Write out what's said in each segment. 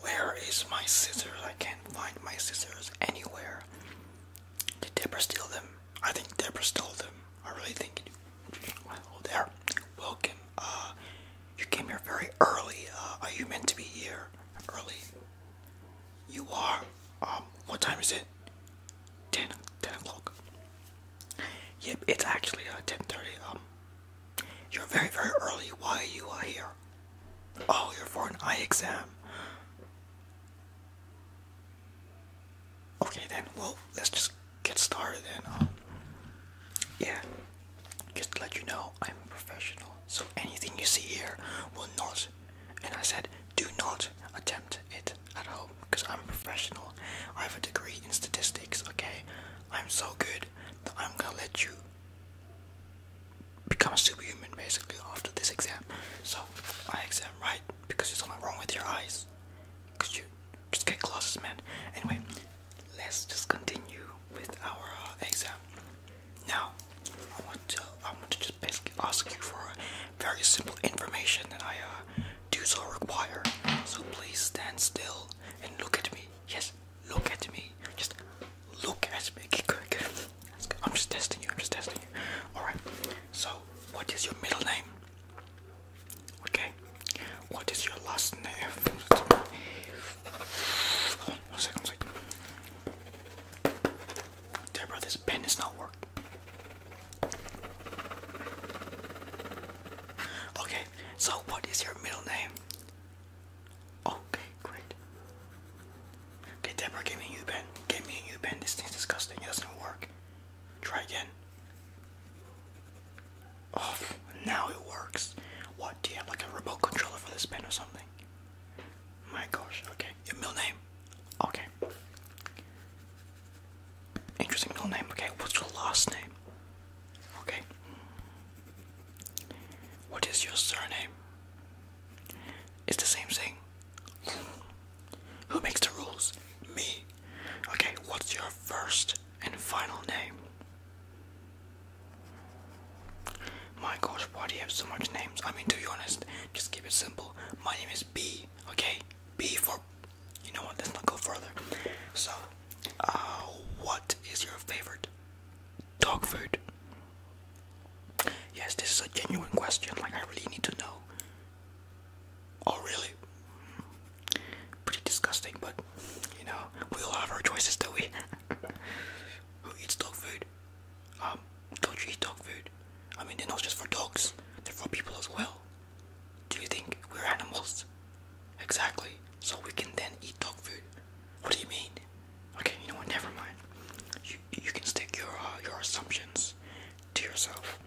Where is my scissors? I can't find my scissors anywhere. Did Debra steal them? I think Debra stole them. I really think it. there. Welcome. Uh, you came here very early. Uh, are you meant to be here early? You are. Um, what time is it? 10, 10 o'clock. Yep, it's actually uh, 10.30. Um, you're very, very early. Why are you here? Oh, you're for an eye exam. Okay then, well, let's just get started then. Um, yeah, just to let you know, I'm a professional. So anything you see here will not, and I said, do not attempt it at home because I'm a professional. I have a degree in statistics, okay? I'm so good that I'm gonna let you become superhuman basically after this exam. So, my exam, right? Because there's something wrong with your eyes. Because you just get glasses, man. Anyway, let's just continue with our uh, exam. Now, I want to I want to just basically ask you for very simple information that I uh, do so require. So please stand still and look at me. Yes, look at me. Just look at me. I'm just testing you. I'm just testing you. Alright. So, what is your middle name? Okay. What is your last name? Hold one second, one second. Deborah, this pen is not working. Okay, so what is your middle name? Okay, great. Okay, Deborah, give me a U-bend. Give me a U-bend. This thing's disgusting. It doesn't work. Try again. Oh, now it works. What, do you have like a remote controller for this pen or something? My gosh, okay. Your name? Okay. Interesting middle name, okay. What's your last name? Okay. What is your surname? It's the same thing. Who makes the rules? Me. Okay, what's your first and final name? My gosh, why do you have so much names? I mean, to be honest, just keep it simple. My name is B, okay? B for. You know what, let's not go further. So, uh, what is your favorite dog food? Yes, this is a genuine question. Like, I really need to know. Oh, really? Pretty disgusting, but you know, we all have our choices, do not we? Who eats dog food? Um, don't you eat dog food? I mean, they're not just for dogs, they're for people as well. Do you think we're animals? Exactly. So we can then eat dog food. What do you mean? Okay, you know what? Never mind. You you can stick your uh, your assumptions to yourself.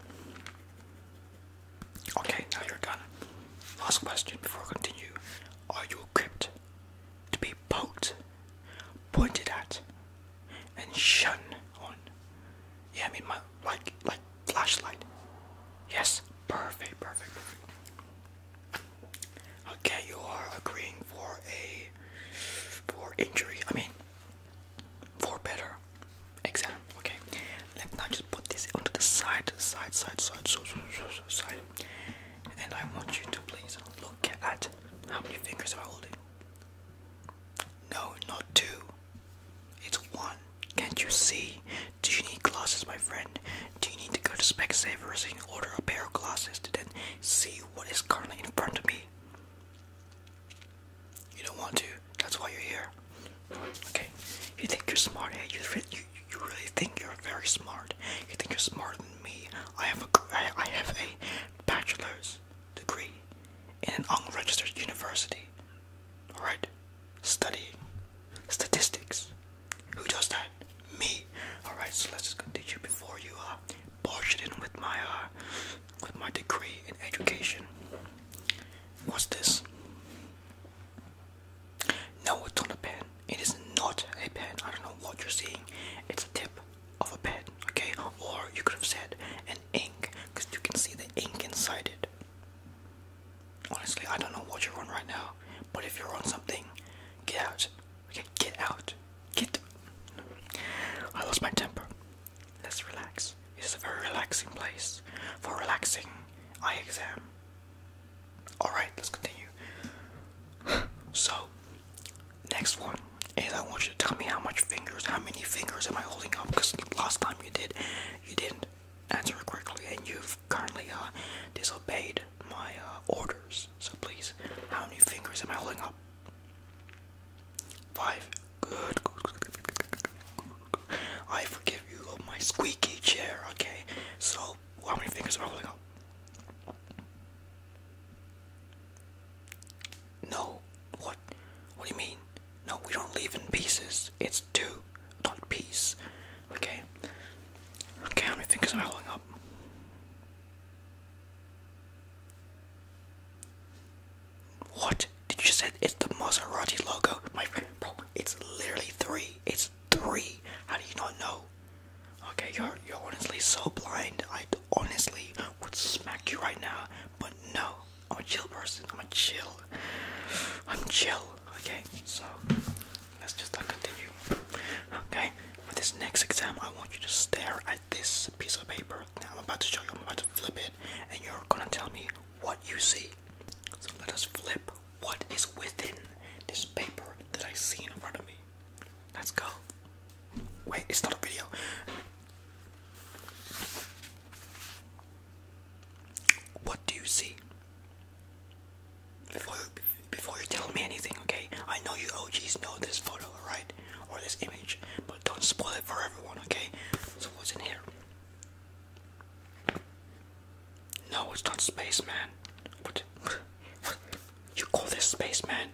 Okay, now you're done. Last question before I continue: Are you equipped to be poked, pointed at, and shunned on? Yeah, I mean my like like flashlight. Yes, perfect, perfect, perfect. Okay, you are agreeing for a for injury. I mean, for better exam. Okay, let's now just put this onto the side, side, side, side, so, so, so, side. And I want you to please look at how many fingers am holding? No, not two. It's one. Can't you see? Do you need glasses, my friend? Do you need to go to Specsavers and order a pair of glasses to then see what is currently in front of me? You don't want to. That's why you're here. Okay. You think you're smart, hey? Eh? You, you, you really think you're very smart. You think you're smarter than me. I have a, I, I have a bachelor's degree in an unregistered university. Alright? Studying statistics. Who does that? Me. Alright, so let's just continue before you uh it in with my uh with my degree in education. What's this? No, it's not a pen. It is not a pen. I don't know what you're seeing. It's the tip of a pen, okay? Or you could have said an ink, because you can see the ink inside it. Honestly, I don't know what you're on right now, but if you're on something, get out Okay, get out. Get. I lost my temper. Let's relax. This is a very relaxing place for relaxing eye exam. Alright, let's continue. So, next one is I want you to tell me how much fingers, how many fingers am I holding up? Because last time you did, you didn't answer correctly, and you've currently uh, disobeyed my uh, orders. So please, how many fingers am I holding up? Five. Good. I forgive you of my squeaky chair. Okay. So how many fingers am I holding up? No. What? What do you mean? No, we don't leave in pieces. It's two, not piece. Okay. Okay, how many fingers am I holding up? What? Did you say it's the Maserati logo? My friend, bro, it's literally three. It's three. How do you not know? Okay, you're you're honestly so blind. I honestly would smack you right now, but no. I'm a chill person. I'm a chill. I'm chill. Okay, so let's just continue. Okay, for this next exam, I want you to stare at this piece of paper that I'm about to show you. I'm about to flip it, and you're gonna tell me what you see. So let us flip what is within this paper that I see in front of me. Let's go. Wait, it's not a video. What do you see? Before, you tell me anything, okay? I know you OGs know this photo, alright? Or this image, but don't spoil it for everyone, okay? So what's in here? No, it's not spaceman. man. What? You call this spaceman?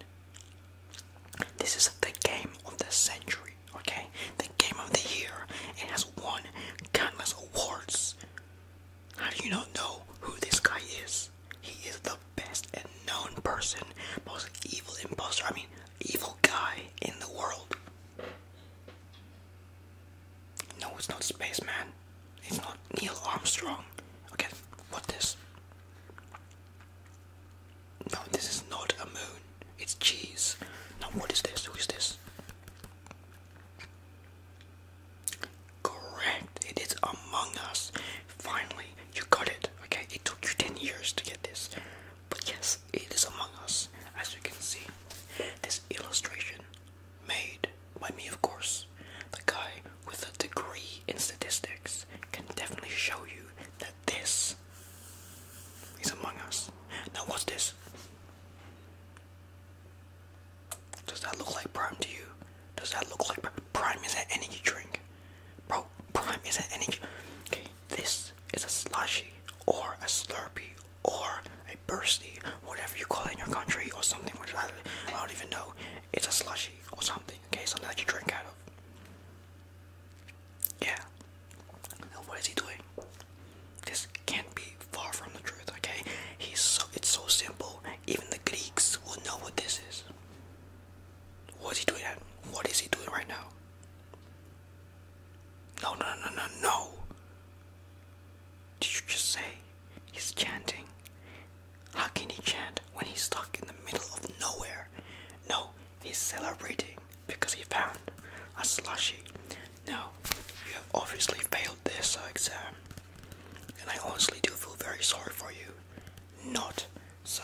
This is the game of the century, okay? The game of the year. It has won countless awards. How do you not know who this guy is? He is the best known person, most evil imposter, I mean, evil guy in the world. No, it's not Spaceman. It's not Neil Armstrong. Okay, what this? No, this is not a moon. It's cheese. Now, what is this? Who is this? Correct. It is Among Us. Finally, you got it. Okay, it took you 10 years to get this. But yes, it is Among Us. As you can see, this illustration made by me, of course. The guy with a degree in statistics can definitely show you that this is Among Us. Now, what's this? Does that look like Prime to you? Does that look like Prime is an energy drink? Bro, Prime is an energy Okay, this is a slushy or a slurpee or a bursty, whatever you call it in your country or something, which I, don't even know. It's a slushy or something, okay, something that you drink out of. Yeah. what is he doing? This can't be far from the truth, okay? He's so it's so simple. Even the Greeks will know what this is. What is he doing What is he doing right now? No, no, no, no, no. Did you just say he's chanting? How can he chant when he's stuck in the middle of nowhere? No, he's celebrating because he found a slushy. No, you have obviously failed this exam, and I honestly do feel very sorry for you not. So,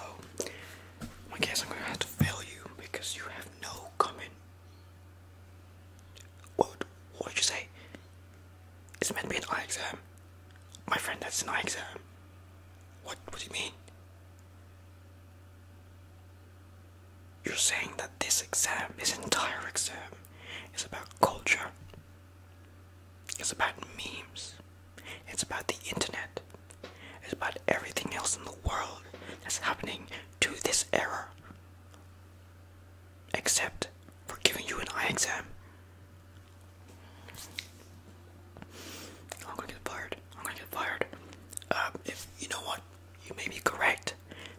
I guess I'm gonna have to fail you because you have no comment. What? What did you say? It's meant to be an eye exam. My friend, that's an eye exam. What? What do you mean? You're saying that this exam, this entire exam, is about culture, it's about memes. It's about the internet. It's about everything else in the world that's happening to this era. Except for giving you an eye exam. I'm gonna get fired. I'm gonna get fired. Um, if you know what, you may be correct,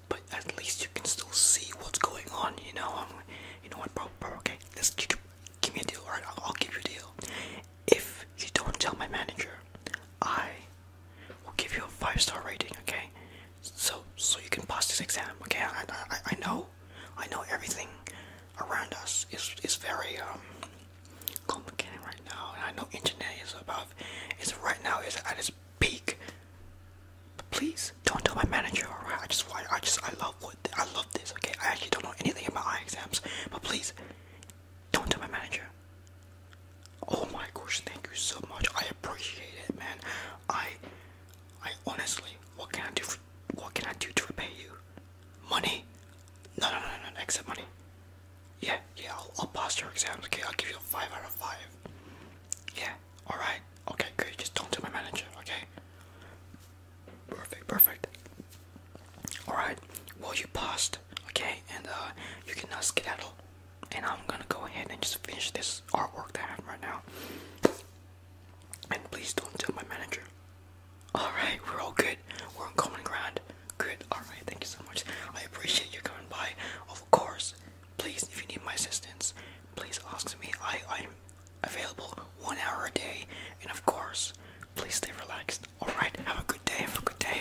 but at least you can still see what's going on. You know, um, you know what, bro, Okay, let's give me a deal, alright? I'll, give you a deal. If you don't tell my manager, I will give you a five star rating, okay? So, so you can pass this exam, okay? I, I, I know, I know everything around us is is very um, complicated right now, and I know internet is about is right now is at its peak. But please don't tell my manager, alright? I just, I, I just, I love know, I love this, okay? I actually don't know anything about eye exams, but please, don't tell my manager. Oh my gosh, thank you so much. I appreciate it, man. I, I honestly, what can I do? For, what can I do to repay you? Money? No, no, no, no, no except money. Yeah, yeah, I'll, I'll pass your exams, okay? I'll give you a 5 out of 5. Yeah, alright. Okay, good. Just don't tell my manager, okay? Perfect, perfect. Alright, well, you paused, okay, and uh, you can now skedaddle. And I'm gonna go ahead and just finish this artwork that I have right now. And please don't tell my manager. Alright, we're all good. We're on common ground. Good, alright, thank you so much. I appreciate you coming by. Of course, please, if you need my assistance, please ask me. I, I, available one hour a day, and of course, please stay relaxed. Alright, have a good day, have a good day.